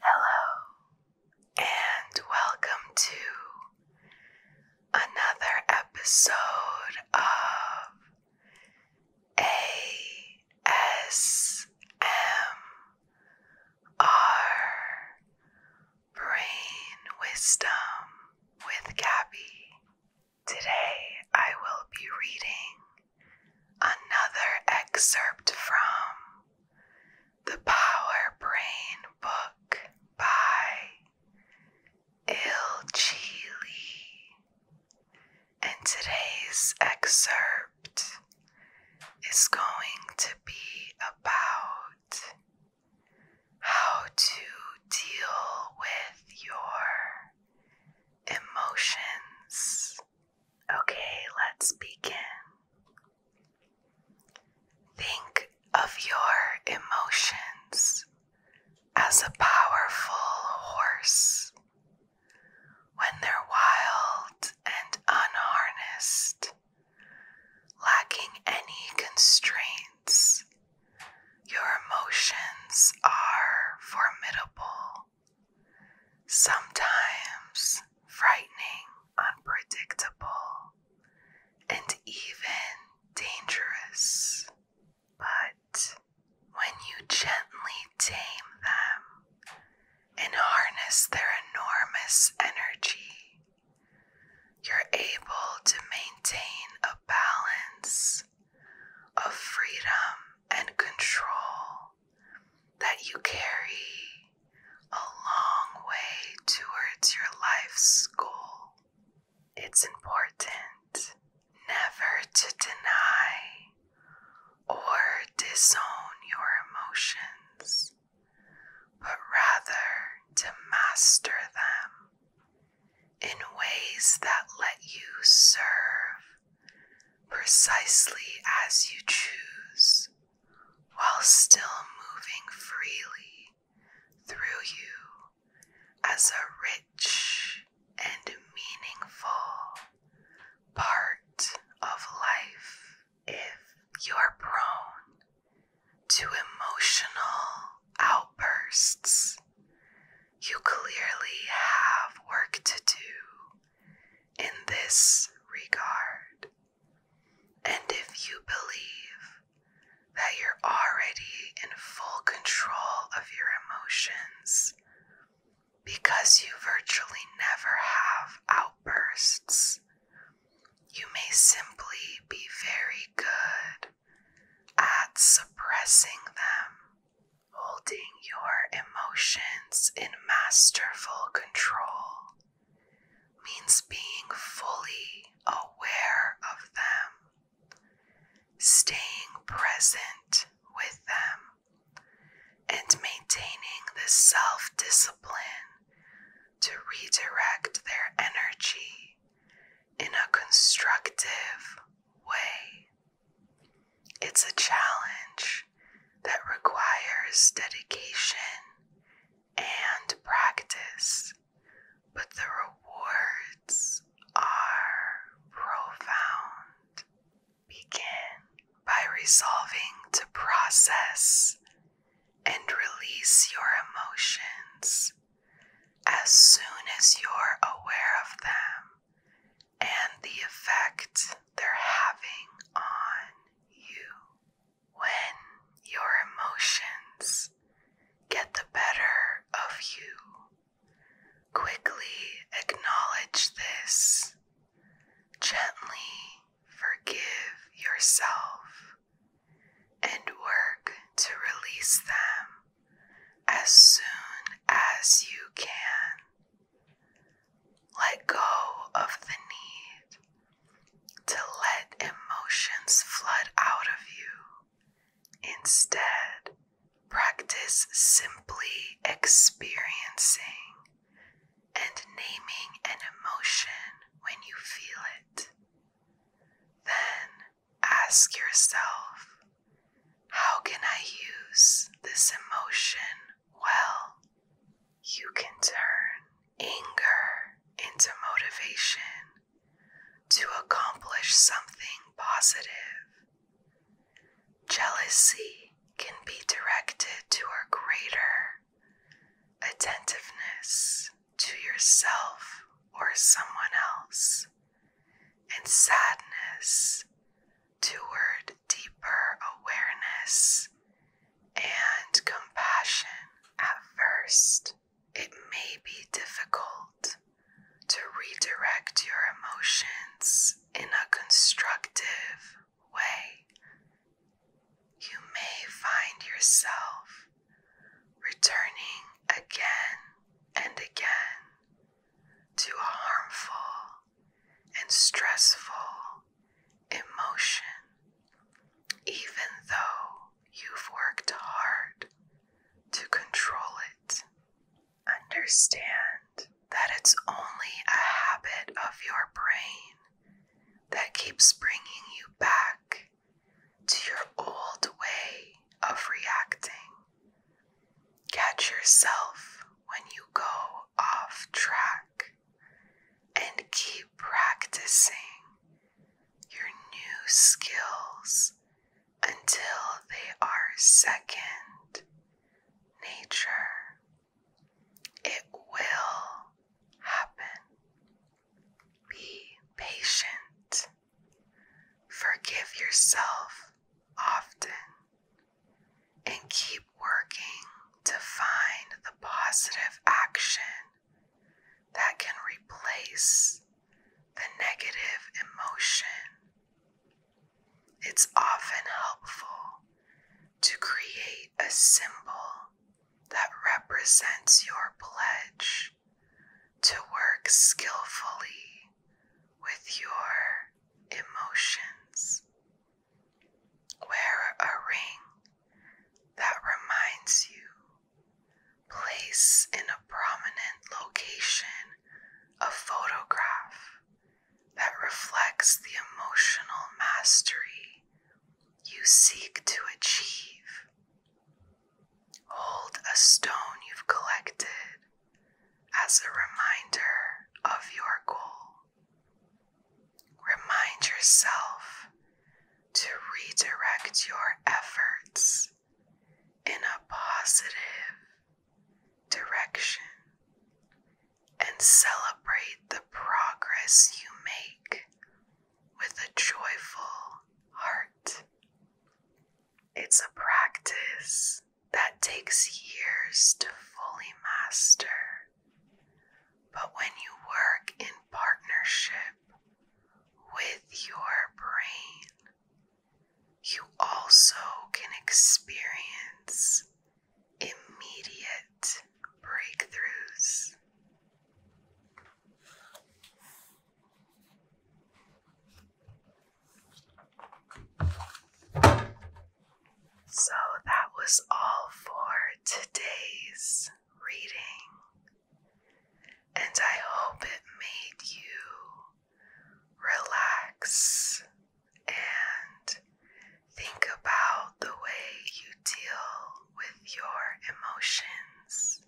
Hello, and welcome to another episode of ASMR Brain Wisdom with Gabby. Today I will be reading Another excerpt from The Power Brain Book by Il Chili. And today's excerpt is going to be about how to deal with your emotions. Okay, let's begin. Think of your emotions as a powerful horse. When they're wild and unharnessed, lacking any constraints, your emotions are formidable sometimes frightening, unpredictable, and even dangerous. But when you gently tame them and harness their enormous energy, you're able to maintain a balance of freedom and control that you carry a long way towards your life's goal. It's important never to deny or disown your emotions, but rather to master them in ways that let you serve precisely as you choose while still moving freely through you as a rich and meaningful part of life if you're prone to emotional outbursts. You clearly have work to do in this regard. And if you believe that you're already in full control of your emotions because you virtually never have outbursts, you may simply be very good at suppressing them, holding your emotions in masterful control means being fully aware of them, staying present with them, and maintaining the self discipline to redirect their energy in a constructive way. It's a challenge that requires dedication and practice, but the rewards are profound. Begin by resolving to process and release your emotions as soon as you're aware of them and the effect they're having on you when your emotions get the better of you. Quickly acknowledge this. Gently forgive yourself and work to release them as soon as you can. Let go of the need to let emotions flood out of you. Instead, practice simply experiencing and naming an emotion when you feel it. Then ask yourself, how can I use this emotion well? You can turn anger into motivation to accomplish something positive. Jealousy can be directed to a greater attentiveness to yourself or someone else, and sadness toward deeper awareness and compassion. At first, it may be difficult to redirect your emotions in a constructive way. You may find yourself returning again and again to a harmful and stressful emotion, even though you've worked hard to control it. Understand that it's only a habit of your brain that keeps bringing you back to your old way of reacting. Catch yourself when you go off track and keep practicing your new skills until they are second nature. It will happen. Be patient. Forgive yourself often and keep working to find the positive action that can replace the negative emotion. It's often helpful to create a symbol that represents your pledge to work skillfully with your emotions. Wear a ring that reminds you. Place in a prominent location a photograph that reflects the emotional mastery you seek to achieve. Hold a stone you've collected as a reminder of your goal. Remind yourself to redirect your efforts in a positive direction and celebrate the progress you make with a joyful heart. It's a practice that takes years to fully master, but when you work in partnership with your brain, you also can experience immediate breakthroughs. So that was all for today's reading, and I hope it made you relax and think about the way you deal with your emotions.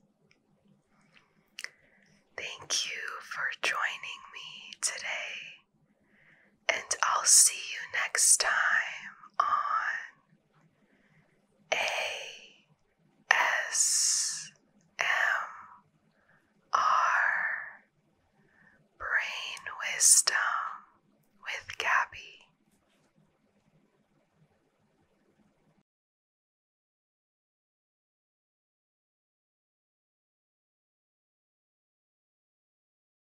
Thank you for joining me today and I'll see you next time on ASMR Brain Wisdom with Gabby.